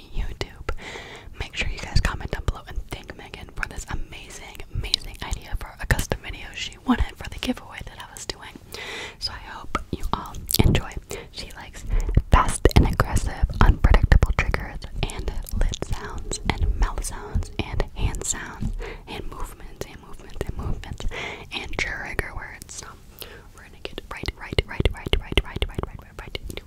YouTube. Make sure you guys comment down below and thank Megan for this amazing, amazing idea for a custom video she won it for the giveaway that I was doing. So I hope you all enjoy. She likes fast and aggressive, unpredictable triggers and lip sounds and mouth sounds and hand sounds and movements and movements and movements and trigger words. we're gonna get right, right, right, right, right, right, right, right, right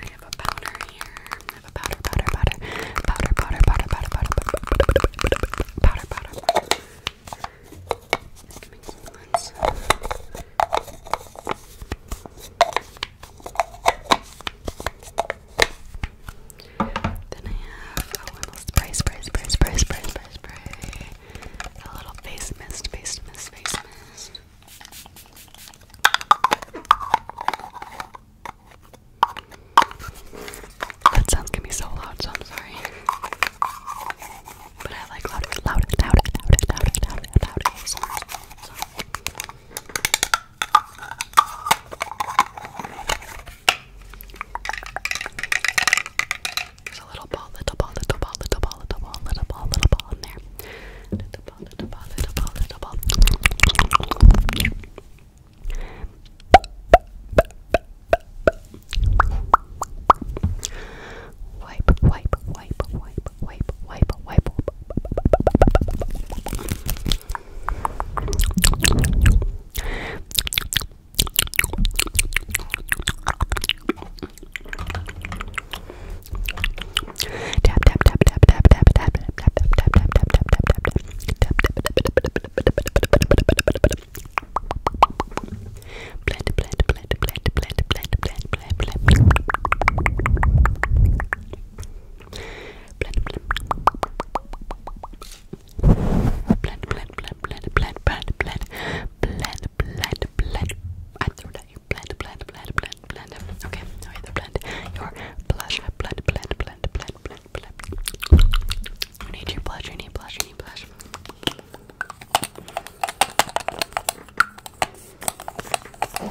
I have a powder here. I have a powder, powder, powder, powder, powder, powder, powder, powder, powder, powder, powder, powder. I can make some lens. Then I have oh, I will spray, spray, spray, spray, spray, spray, spray. A little face mist, face mist, face mist. That sounds gonna be so loud, so I'm sorry. But I like loud, loud, loud, loud, loud, loud, loud, loud sounds. So. There's a little ball, little ball, little ball, little ball, little ball, little ball, little ball in there ball, little ball, little ball, little ball. Wipe, wipe, wipe, wipe, wipe, wipe, wipe. Wipe, Tap tap tap tap tap tap tap tap tap tap tap tap tap tap Blend, blend, blend, blend, blend. I threw that. Blend, blend, blend, blend, blend, blend. Okay, now either blend your blush, blend, blend, blend, blend, blend, blend. You need your blush, you need blush, you need blush. Okay, perfect, perfect, perfect.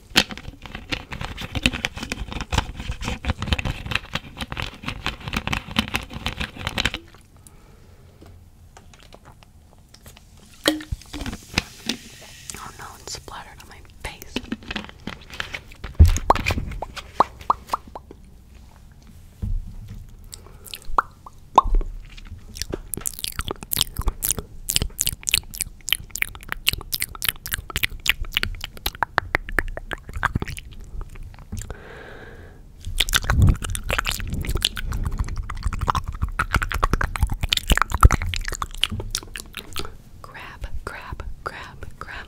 Oh no, it's splattered on my face. Grab, grab, grab, grab.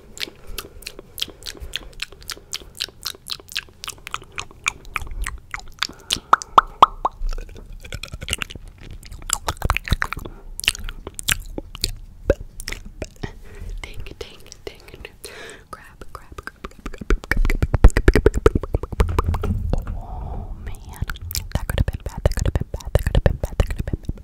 Dink, dink, dink. Grab, grab, grab, grab. Oh man, that could have been bad. That could have been bad. That could have been bad. That could have been bad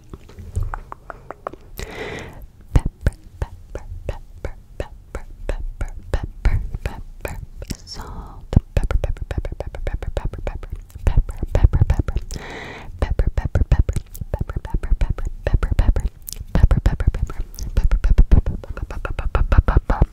pepper, pepper, pepper, pepper, pepper, pepper, pepper, salt, pepper, pepper, pepper, pepper, pepper, pepper, pepper, pepper, pepper, pepper, pepper, pepper, pepper, pepper, pepper, pepper, pepper, pepper. Pepper, pepper, pepper, pepper, pepper, pepper, pepper, pepper, pepper, pepper, pepper, pepper.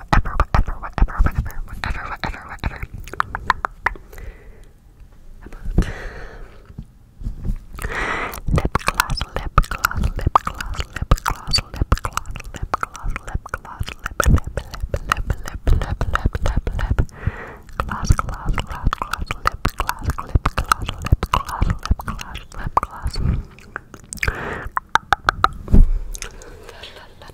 whatever, whatever, whatever, whatever, whatever, whatever, whatever. Lip gloss, lip gloss, lip gloss, lip gloss, lip gloss, lip gloss, lip gloss, lip lip lip lip lip lip lip lip gloss, gloss, gloss, gloss, lip gloss, lip gloss, lip gloss, lip gloss, lip gloss. La la la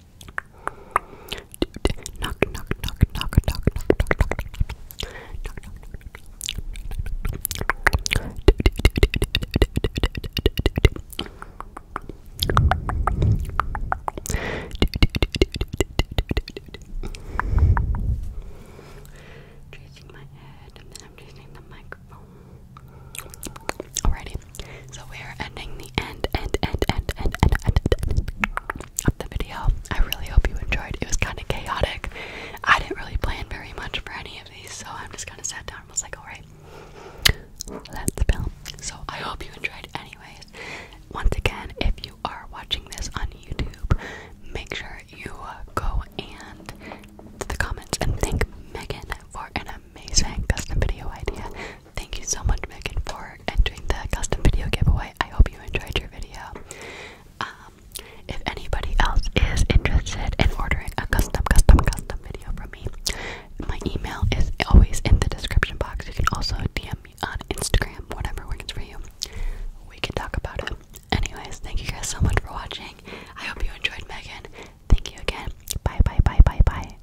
knock knock knock knock knock knock knock knock Tracing my head and then I'm tracing the microphone. Alrighty. So we are ending the end, end, end, end, end, end, end, of the video. I really hope you enjoyed. It was kind of chaotic. I didn't really plan very much for any of these, so I'm just kind of sat down and was like, alright, let's film. So I hope you enjoyed anyways. Once again, if you are watching this on YouTube, make sure you uh, go and to the comments and thank Megan for an amazing custom video idea. Thank you so much, Megan, for entering the custom video giveaway. I hope you enjoyed your video. Um, if anybody else is interested in ordering a custom, custom, custom video from me, my email is always in the description box. You can also DM me on Instagram, whatever works for you. We can talk about it. Anyways, thank you guys so much for watching. I hope you enjoyed Megan. Thank you again. Bye, bye, bye, bye, bye.